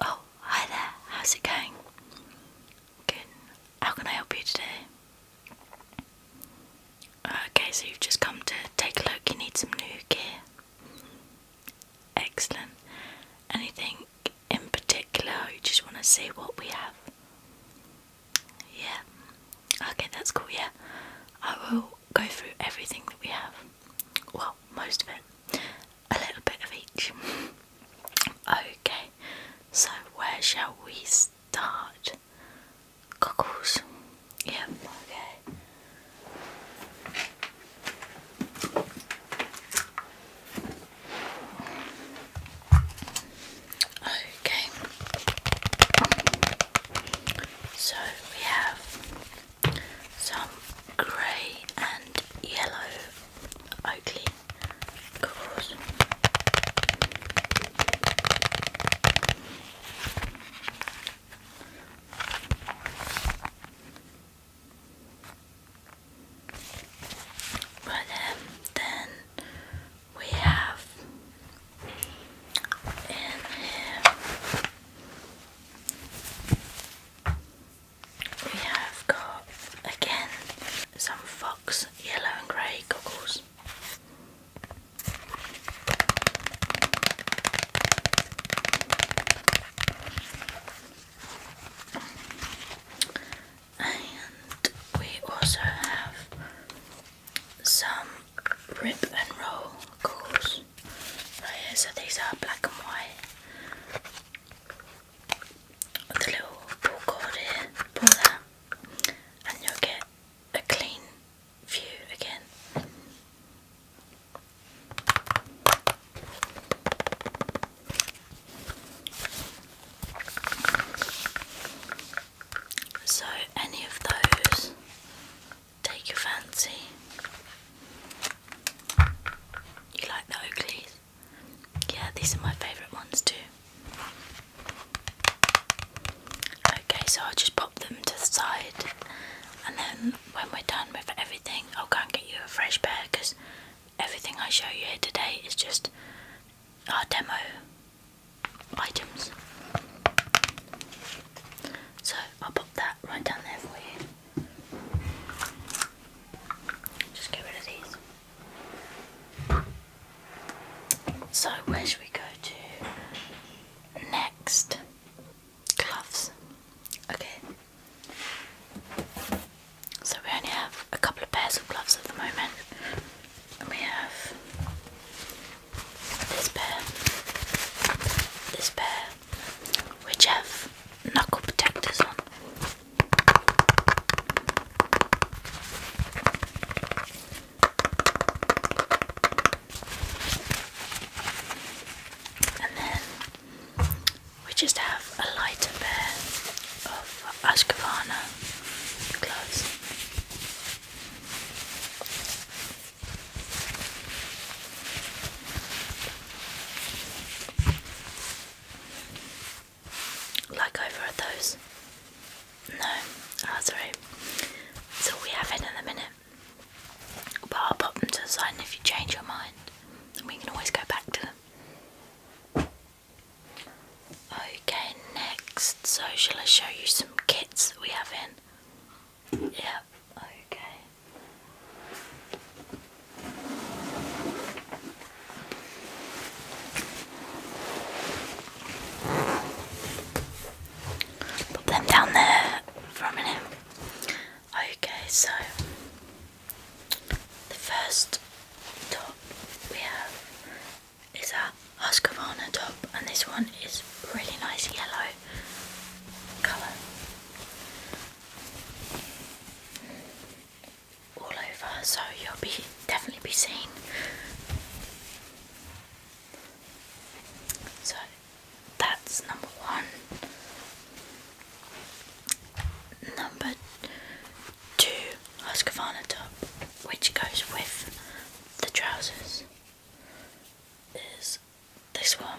Oh, hi there, how's it going? Good. How can I help you today? Okay, so you've just come to take a look. You need some new gear. Excellent. Anything in particular? You just want to see what we have? Yeah. Okay, that's cool. Yeah, I will go through everything that we have. Well, most of it. A little bit of each. okay, so where shall we start? goggles. yeah. okay. Okay. So we have some grey and yellow Oakley goggles. But um, then we have in we have got again some fox yellow and grey goggles. And we also have some rip and roll calls oh, So these are black and white. With the little pull cord here, pull that, and you get a clean view again. So, any of those take your fancy. You like the Oakleys? Yeah, these are my favourite ones too. Okay, so I'll just pop them to the side, and then when we're done with everything, I'll go and get you a fresh pair because everything I show you here today is just our demo items. So I'll pop that right down there for you. Just get rid of these. So where should we go to next? Gloves. Okay. So we only have a couple of pairs of gloves at the moment. And we have this pair, this pair, which have knuckle protectors on. And then we just have a lighter pair of Ashkavana gloves like over at those? No, oh, sorry. So we have it in a minute. But I'll pop them to the side, and if you change your mind, then we can always go back to them. Okay, next. So, shall I show you some kits that we have in? Yeah, okay. Put them down there for a Okay, so the first top we have is a Husqvarna top, and this one is really nice yellow colour all over, so you'll be definitely be seen. So that's number one. Number two, Husqvarna which goes with the trousers, is this one.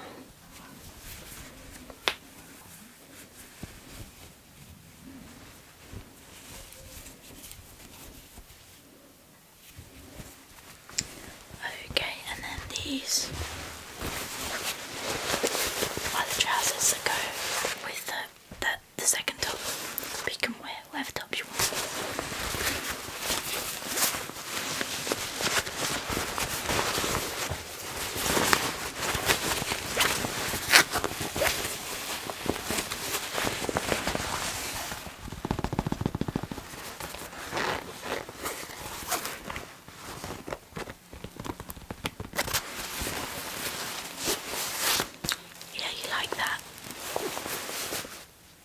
Okay, and then these are the trousers that go with the, the, second top. you can wear whatever top you want. Yeah, you like that?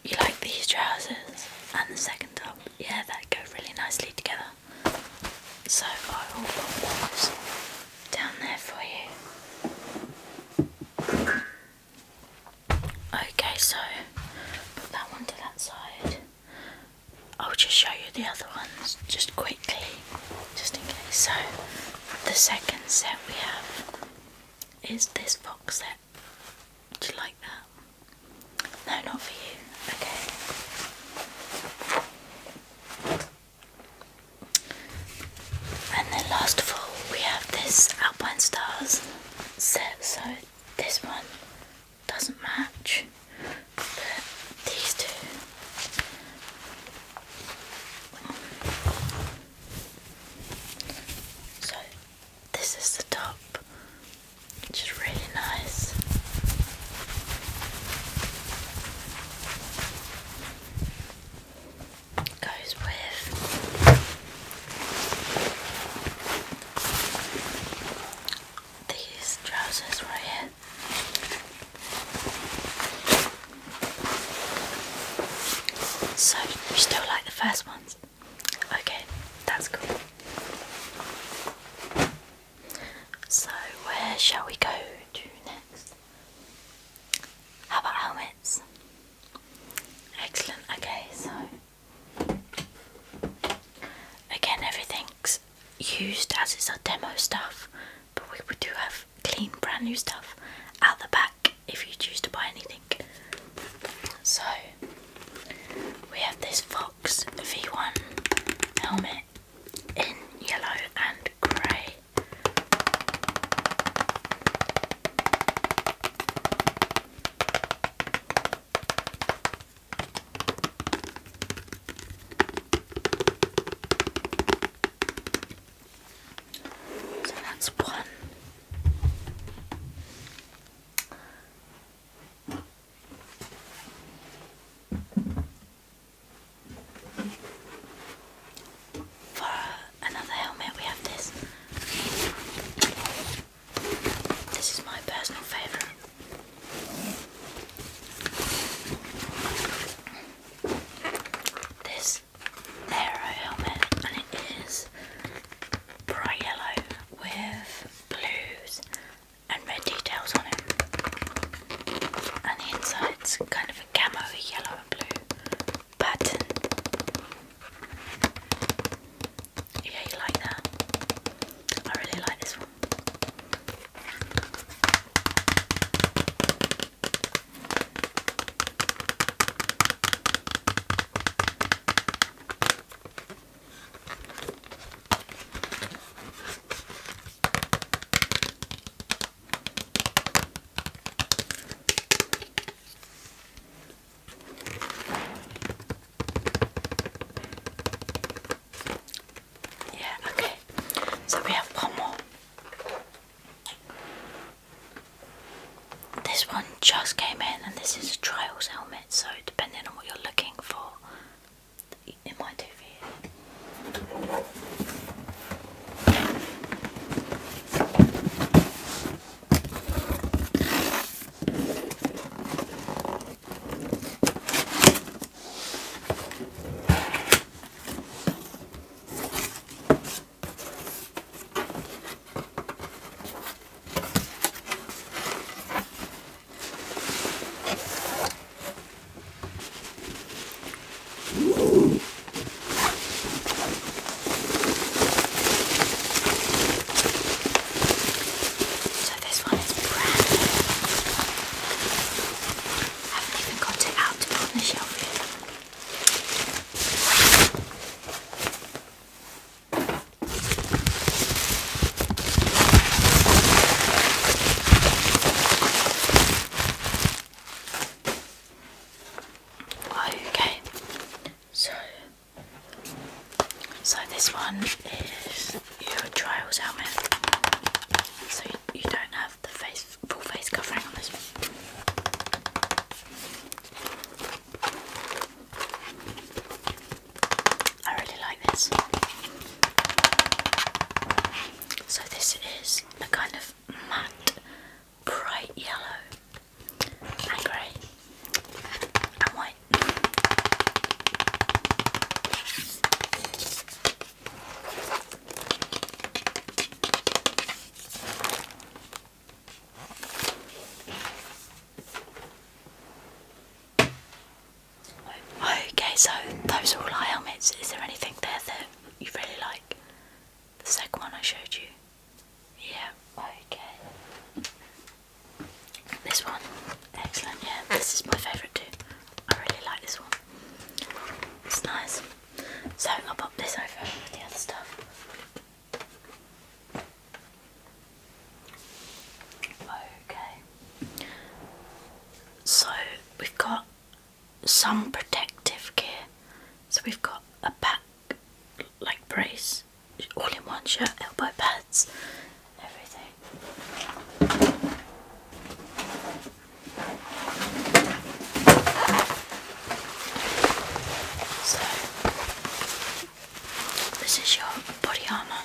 You like these trousers and the second top? Yeah, that go really nicely together. So far, will put down there for you. Okay, so put that one to that side. I'll just show you the other ones just quickly, just in case. So, the second set we have is this box set. Do you like that? No, not for you. Okay. And then last of all, we have this Alpine Stars set. So this one doesn't match, but these two. So this is the top, which is really nice goes with these trousers right here. So, you still like the first ones? Okay, that's cool. So, where shall we go to next? How about helmets? Excellent. Okay, so again, everything's used as it's our demo stuff, but we do have clean, brand new stuff out the back if you choose to buy anything. So we have this Fox V1 helmet in yellow and grey. So that's one. For another helmet, we have this. This is my personal favourite. This aero helmet, and it is bright yellow with blues and red details on it. And the inside's kind of a camo yellow and blue pattern. Yeah, you like that? I really like this one. Yeah, okay. So we have one more. This one just came in, and this is a trials helmet. So, depending on what you're looking for, in my TV. So this one is brand new. I haven't even got it out to put on the shelf yet. Okay, so so this one is your trials helmet. So you, don't have the full face covering on this one. I really like this. So this is a kind of matte, bright yellow and grey and white. Okay, so those are all eye helmets. Is there anything there that you really like? The second one I showed you. Yeah, okay. This one, excellent, yeah, this is my favourite too. I really like this one. It's nice. So I'll pop this over with the other stuff. Okay. So we've got some protective gear. So we've got a back like brace, all in one shirt, elbow pads, everything. So this is your body armour.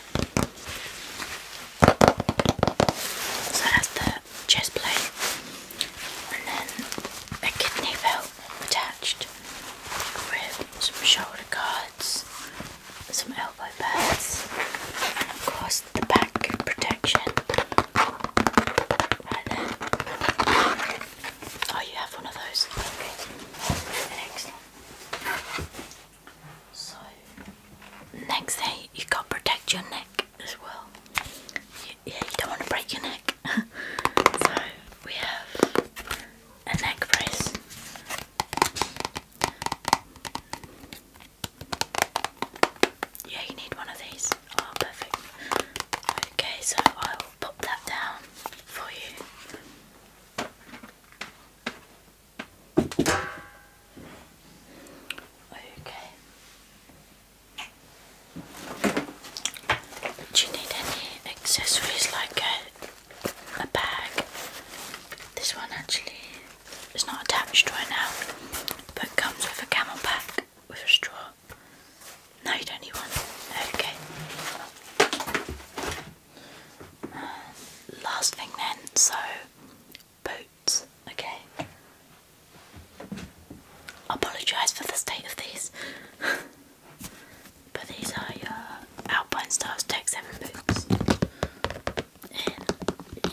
So that's the chest plate, and then a kidney belt attached with some shoulder guards, some elbow pads, and of course the back protection. Right there. Oh, you have one of those. Okay, excellent. So next thing, you gotta protect your neck as well. yeah, you don't want to break your neck. so we have a neck brace. Yeah, you need one of these. Oh, perfect. Okay, so I will pop that down for you. Okay. Do you need any accessories like a, a bag? This one actually is not attached right now, but comes with a camel pack with a straw. No, you don't need one. Okay. Last thing then, so boots, okay. Apologise for the state of these, but these are your uh, Alpine Stars Tech 7 boots in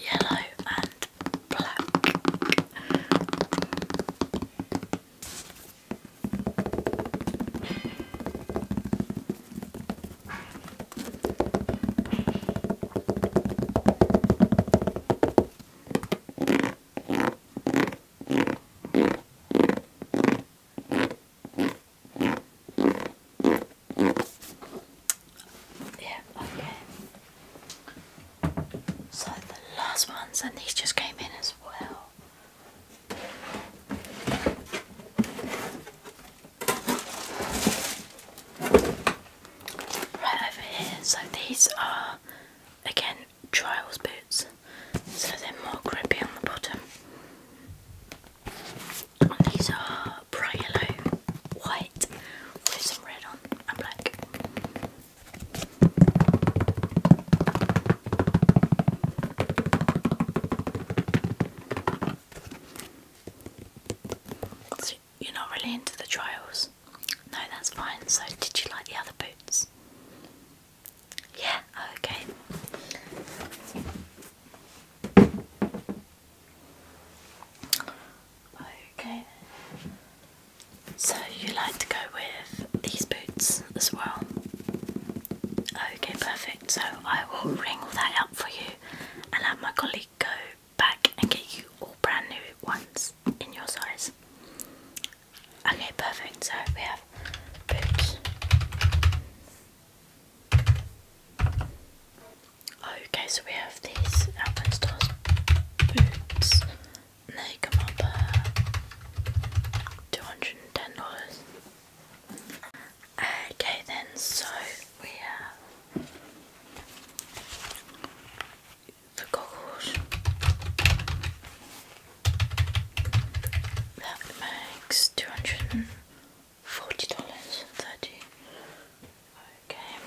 yellow and black. Yeah, okay. So the last ones, and these just came in as well so these are again trials boots, so they're more grippy on the bottom. And these are bright yellow, white, with some red on, and black. So you're not really into the trials? No, that's fine. So did you like the other boots? Yeah, oh, okay. Okay. So you like to go with these boots as well? Okay, perfect. So I will ring all that up for you and let my colleague go back and get you all brand new ones in your size. Okay, perfect. So we have boots. Okay, so we have these Alpen boots. they come up $210. Okay, then, so we have the goggles. That makes two hundred and forty dollars thirty. Okay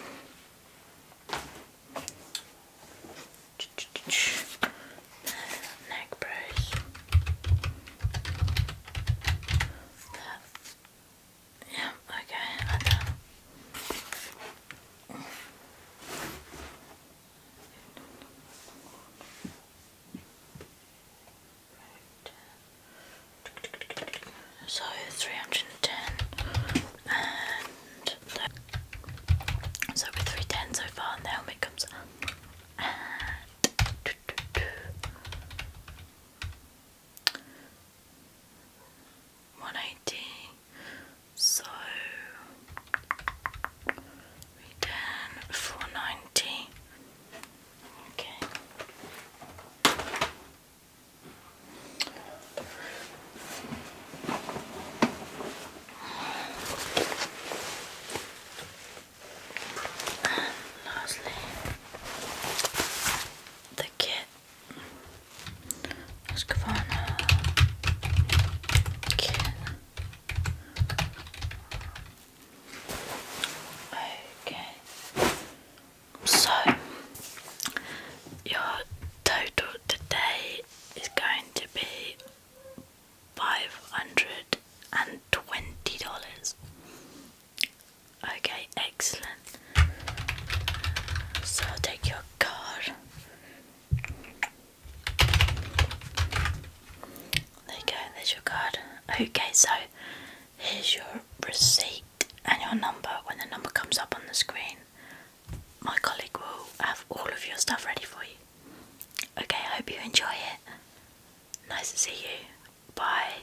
neck brace. Yeah, okay, So three hundred and ten, and so with three ten so far, and the helmet comes and one eighty. So return four ninety. Okay lastly, the kit. Husqvarna kit. Okay, so your total today is going to be $520. Okay, excellent. So I'll take your card. There you go, there's your card. Okay, so here's your receipt and your number. When the number comes up on the screen, my colleague will have all of your stuff ready for you. Okay, I hope you enjoy it. Nice to see you. Bye.